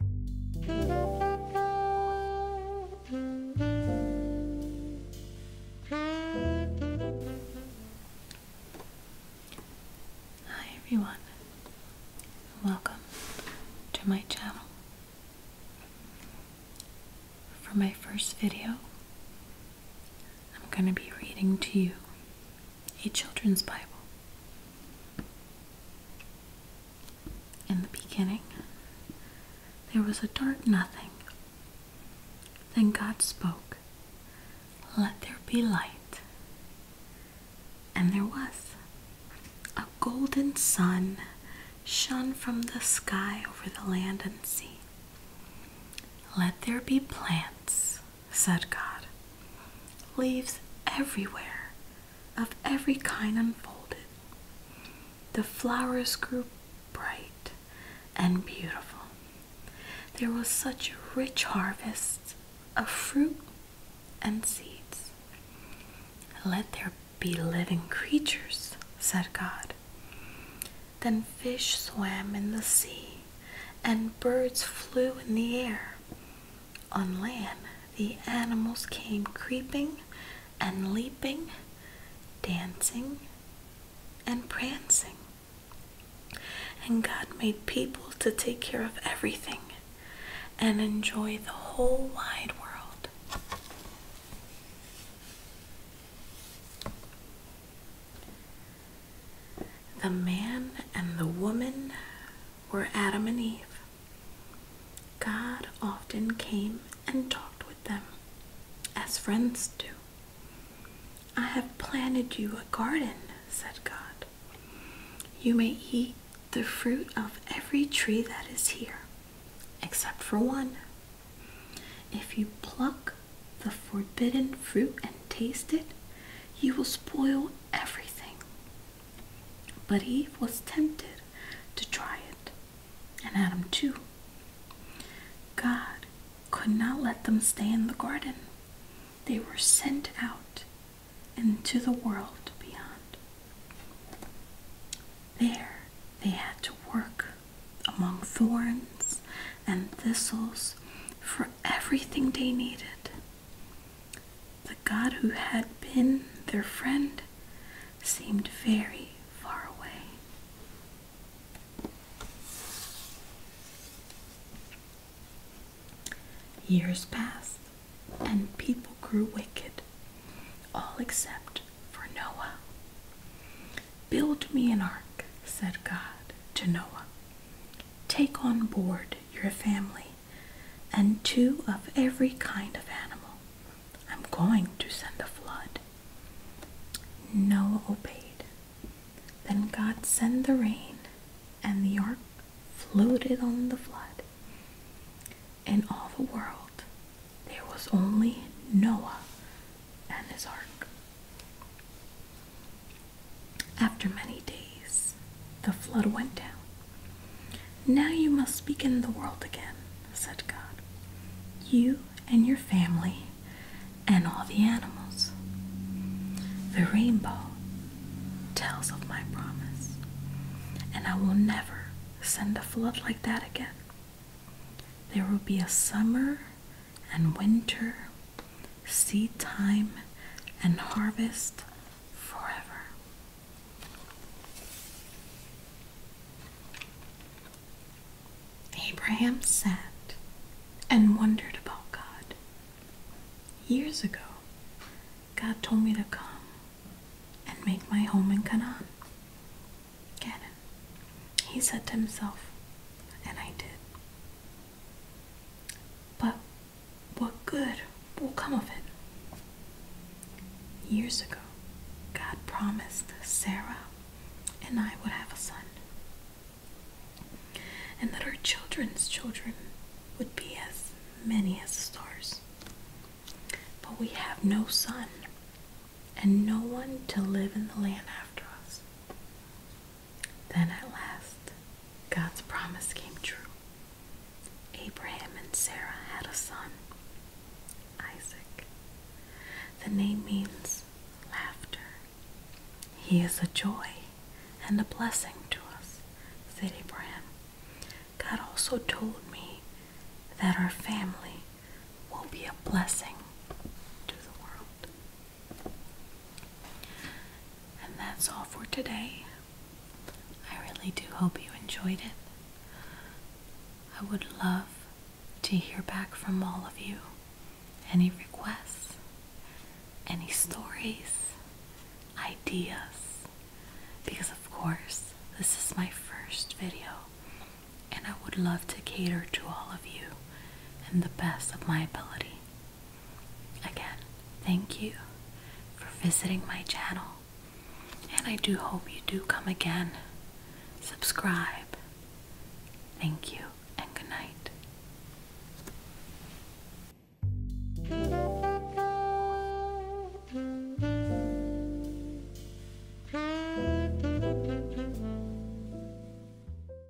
Hi everyone, welcome to my channel. For my first video, I'm going to be reading to you a children's Bible. In the beginning, there was a dark nothing. Then God spoke, Let there be light. And there was. A golden sun shone from the sky over the land and sea. Let there be plants, said God, leaves everywhere of every kind unfolded. The flowers grew bright and beautiful. There was such a rich harvest of fruit and seeds. Let there be living creatures, said God. Then fish swam in the sea, and birds flew in the air. On land, the animals came creeping and leaping, dancing and prancing. And God made people to take care of everything and enjoy the whole wide world. The man and the woman were Adam and Eve. God often came and talked with them, as friends do. I have planted you a garden, said God. You may eat the fruit of every tree that is here, except for one. If you pluck the forbidden fruit and taste it, you will spoil everything. But Eve was tempted to try it, and Adam too. God could not let them stay in the garden. They were sent out into the world beyond. There they had to work among thorns and thistles for everything they needed. The God who had been their friend seemed very far away. Years passed, and people grew wicked, all except for Noah. Build me an ark, said God to Noah. Take on board your family and two of every kind of animal. I'm going to send a flood. Noah obeyed. Then God sent the rain, and the ark floated on the flood. In all the world, there was only Noah and his ark. After many days, the flood went down. Now you must begin the world again, said God. You and your family and all the animals. The rainbow tells of my promise, and I will never send a flood like that again. There will be a summer and winter seed time, and harvest forever. Abraham sat and wondered about God. Years ago, God told me to come and make my home in Canaan. Canaan. He said to himself, and I did. But what good will come of it? Years ago, God promised Sarah and I would have a son, and that our children's children would be as many as stars. But we have no son, and no one to live in the land after us. Then at last, God's promise came true. Abraham and Sarah had a son, Isaac. The name means laughter. He is a joy and a blessing to us, said Abraham. God also told me that our family will be a blessing to the world. And that's all for today. I really do hope you enjoyed it. I would love to hear back from all of you. Any requests, any stories, ideas, because of course, this is my first video and I would love to cater to all of you in the best of my ability. Again, thank you for visiting my channel, and I do hope you do come again. Subscribe. Thank you, and good night.